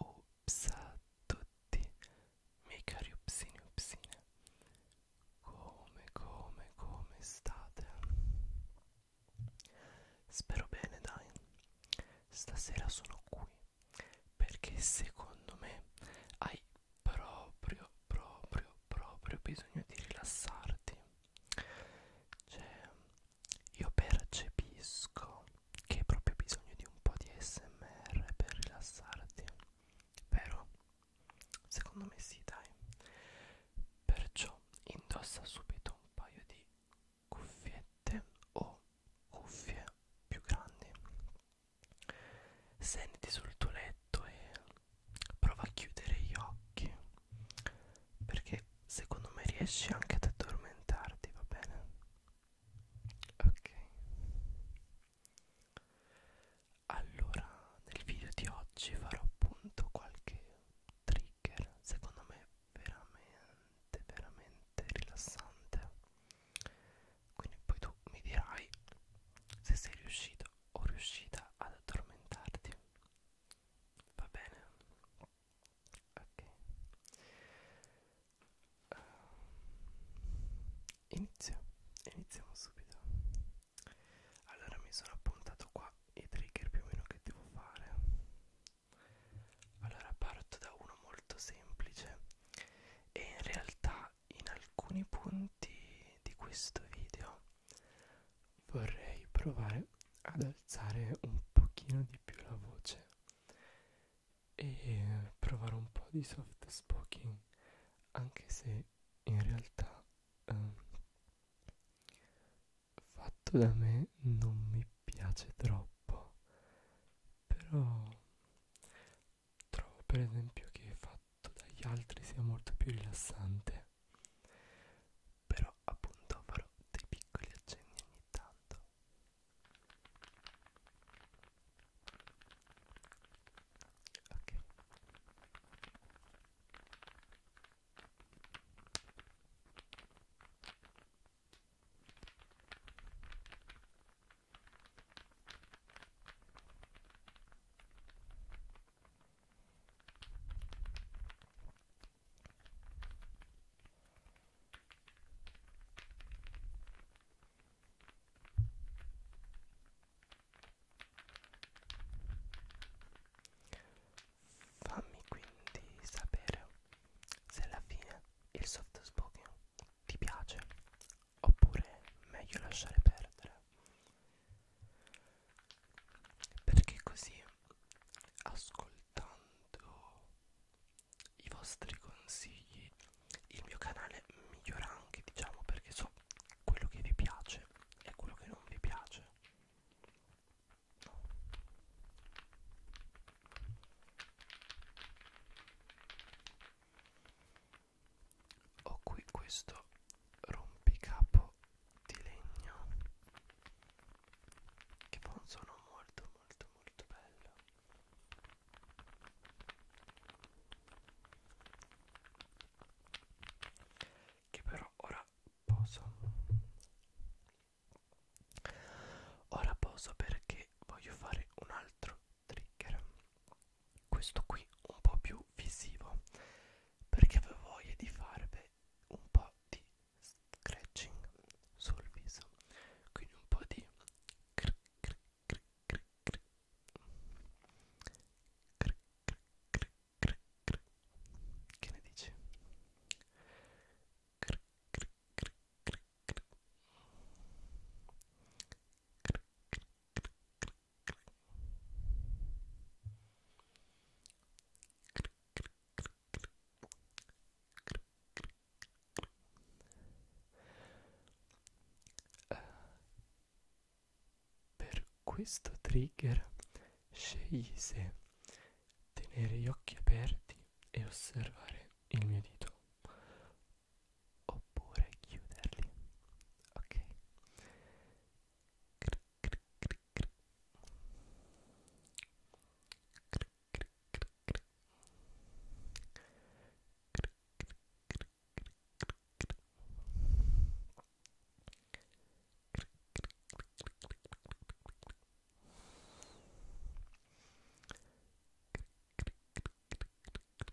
Ups a tutti, miei cari upsini upsine, come, come, come state? Spero bene, dai. Stasera sono qui perché secondo me hai proprio proprio proprio bisogno di rilassarti cioè io percepisco che hai proprio bisogno di un po' di smr per rilassarti vero? secondo me sì dai perciò indossa subito un paio di cuffiette o cuffie più grandi Senti sul tuo letto e prova a chiudere gli occhi perché secondo me riesci anche ad addormentarti, va bene? Ok. Allora, nel video di oggi farò appunto qualche trigger, secondo me veramente veramente rilassante. Quindi poi tu mi dirai se sei riuscito o riuscita ad addormentarti? Va bene? Ok. Uh, eh, inizio, iniziamo subito. Allora mi sono appuntato qua i trigger più o meno che devo fare. Allora parto da uno molto semplice e in realtà in alcuni punti di questo video vorrei provare ad alzare un pochino di più la voce e provare un po' di soft spoken anche se in realtà eh, fatto da me non mi piace troppo però trovo per esempio che fatto dagli altri sia molto più rilassante però appunto farò dei piccoli accenni ogni tanto ok Fammi quindi sapere se alla fine il soft spoken ti piace oppure meglio lasciare perdere perché così ascoltando i vostri consigli il mio canale migliora anche diciamo perché so quello che vi piace e quello che non vi piace ho qui questo rompicapo di legno che fa un suono molto molto molto bello che però ora poso ora poso perché voglio fare un altro trigger questo qui un po' più visivo perché avevo voglia di farvi un po' di scratching sul viso quindi un po' di cric cric cric cric cric cric cric cric cric che ne dici? cric cric cric cric cric cric cric cric cric clic, clic. Clic, clic, clic, clic. Clic, clic, clic. Uh, eh, per questo trigger scegli se tenere gli occhi aperti e osservare il mio dito oppure chiuderli ok cric, cric, cric, cric. Cric, cric, cric, cric. Cric, cric, cric, cric, cric. Cric, cric, cric, cric, cric.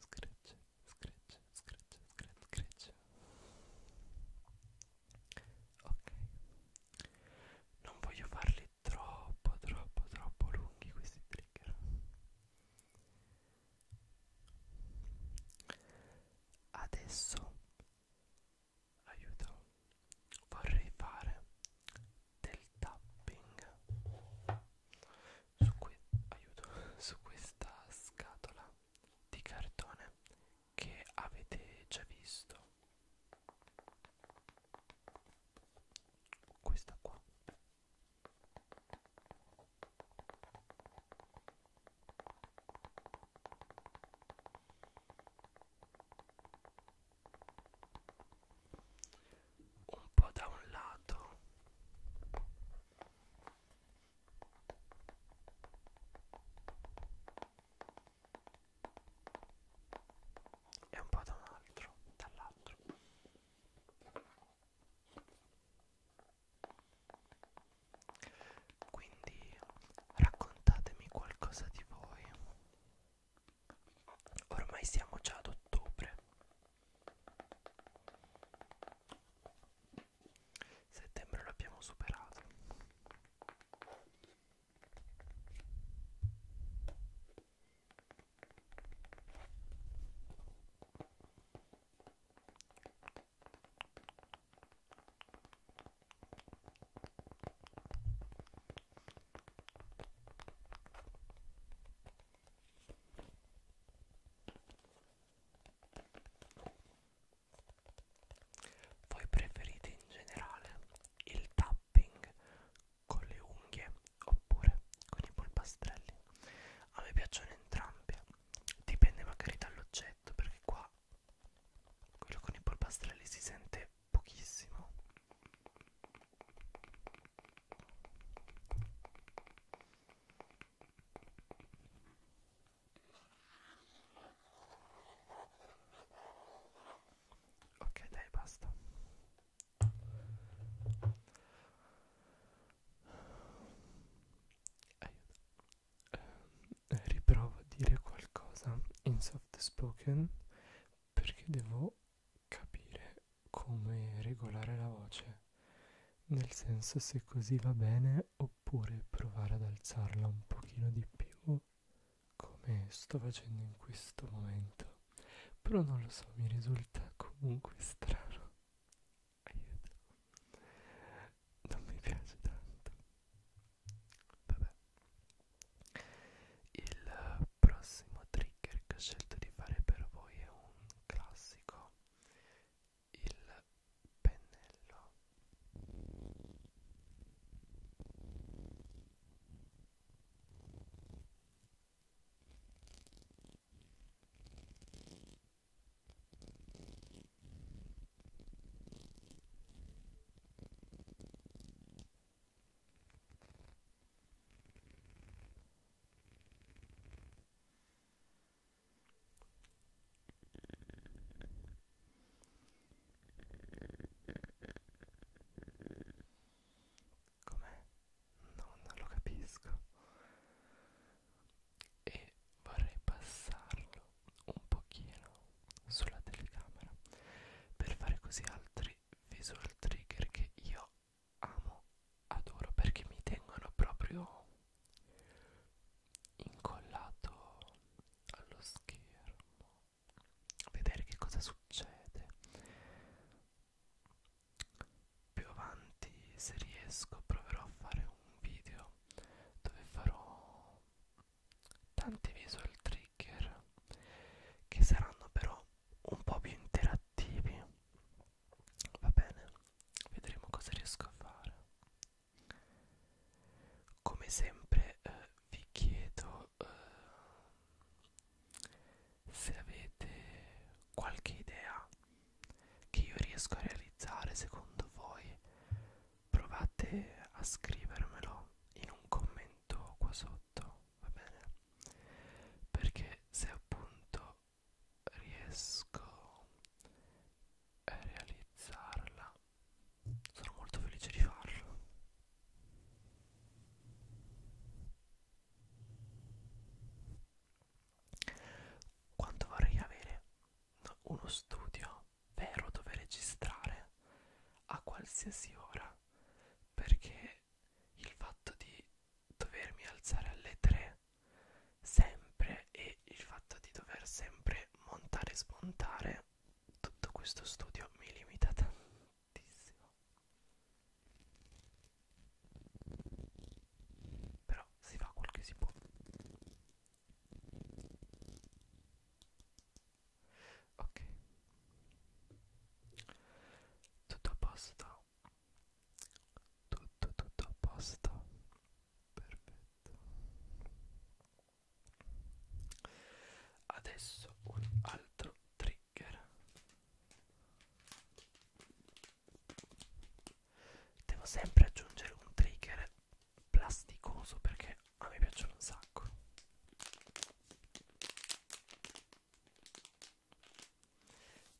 scratch, scratch, scratch, scratch, scratch. Ok. Non voglio farli troppo, troppo, troppo lunghi questi trigger. Adesso aiuto. Vorrei fare del tapping su, que aiuto, su questa scatola di cartone che avete già visto questa qua un po' da un lato e un po' da un altro, dall'altro. Quindi raccontatemi qualcosa di voi. Ormai siamo già ad ottobre Settembre l'abbiamo superato. Voi preferite in generale il tapping con le unghie oppure con i polpastrelli? A me piacciono entrambi, dipende magari dall'oggetto perché qua quello con i polpastrelli si sente pochissimo. Ok, dai, basta. Aiuto. Eh, riprovo a dire qualcosa in soft spoken perché devo capire come regolare la voce, nel senso se così va bene oppure provare ad alzarla un pochino di più come sto facendo in questo momento, però non lo so, mi risulta comunque strano. Aiuto. Non mi piace tanto. Vabbè. Il prossimo trigger che ho scelto di fare per voi è un classico il pennello Com'è? No, non lo capisco. E vorrei passarlo un pochino sulla telecamera per fare così altri visual trigger che io amo, adoro perché mi tengono proprio incollato allo schermo vedere che cosa succede più avanti se riesco proverò a fare un video dove farò tanti visual trigger che saranno però un po' più interattivi Va bene, vedremo cosa riesco a fare. Come sempre eh, vi chiedo eh, se avete qualche idea che io riesco a realizzare secondo voi. Provate a scrivermelo in un commento qua sotto, va bene? Perché se appunto riesco a realizzarla sono molto felice di farlo quanto vorrei avere uno studio vero dove registrare a qualsiasi ora perché il fatto di dovermi alzare alle 3 sempre e il fatto di dover sempre montare e smontare tutto questo studio mi limita tantissimo però si fa quel che si può ok tutto a posto tutto tutto a posto perfetto adesso un altro trigger devo sempre aggiungere un trigger plasticoso perché a me piacciono un sacco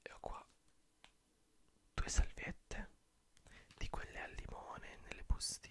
e ho qua due salviette di quelle al limone nelle bustine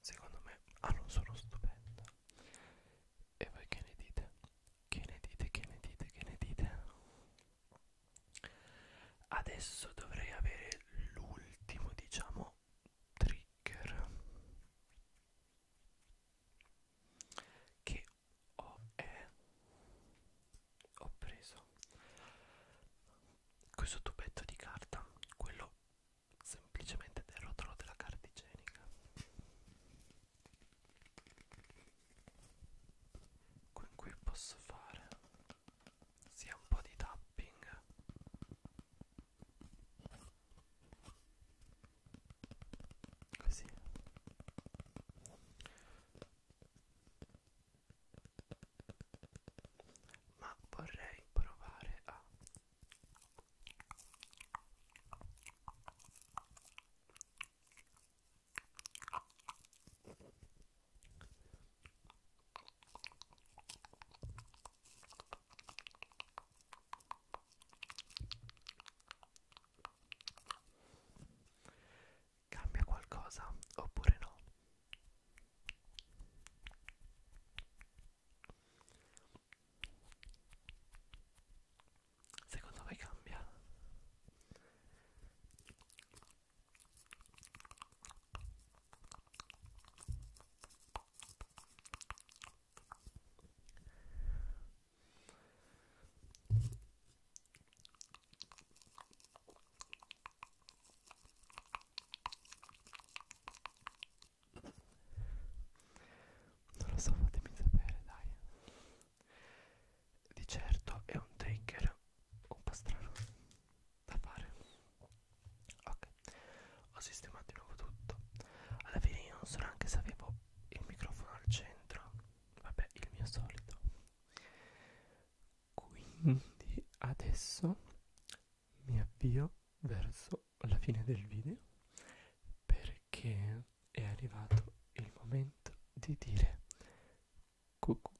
Secondo me ah, non sono stupenda. E voi che ne dite? Che ne dite? Che ne dite? Che ne dite? Adesso dovrei avere l'ultimo, diciamo, trigger che ho, è, ho preso questo tubetto di carta, quello semplicemente del rotolo della carta igienica. Con cui posso fare sia un po' di tapping così ma vorrei provare a Cambia qualcosa oppure no? Secondo me cambia. Non lo so, fatemi sapere, dai. Di certo è un trigger un po' strano da fare. Ok, ho sistemato di nuovo tutto. Alla fine io non so neanche se avevo il microfono al centro vabbè il mio solito quindi adesso mi avvio verso la fine del video perché è arrivato il momento di dire cucù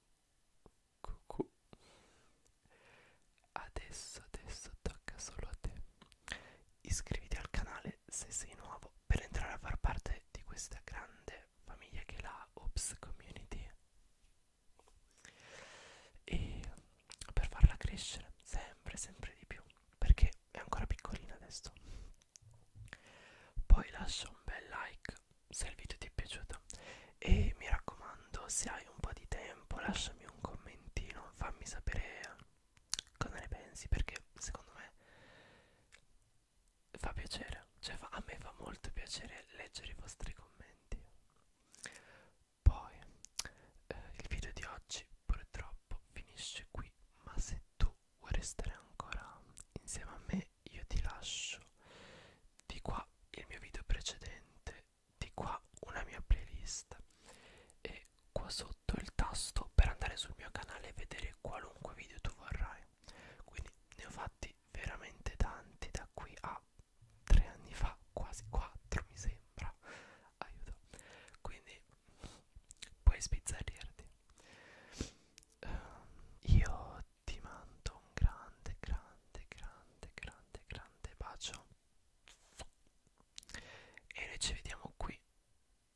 cucù adesso adesso tocca solo a te iscriviti al canale chiedere se sei nuovo per entrare a far parte di questa grande famiglia che è la Ops Community e per farla crescere sempre sempre di più perché è ancora piccolina adesso poi lascia un bel like se il video ti è piaciuto e mi raccomando se hai un po' di tempo lasciami un commentino fammi sapere cosa ne pensi perché secondo me fa piacere cioè fa, a me fa molto piacere leggere i vostri commenti poi eh, il video di oggi purtroppo finisce qui ma se tu vuoi restare ancora insieme a me io ti lascio di qua il mio video precedente di qua una mia playlist e qua sotto il tasto per andare sul mio canale e vedere qualunque video tu vorrai quindi ne ho fatti veramente tanti da qui a tre anni fa quasi quattro mi sembra aiuto quindi puoi spizzardirti uh, io ti mando un grande grande grande grande grande bacio e noi ci vediamo qui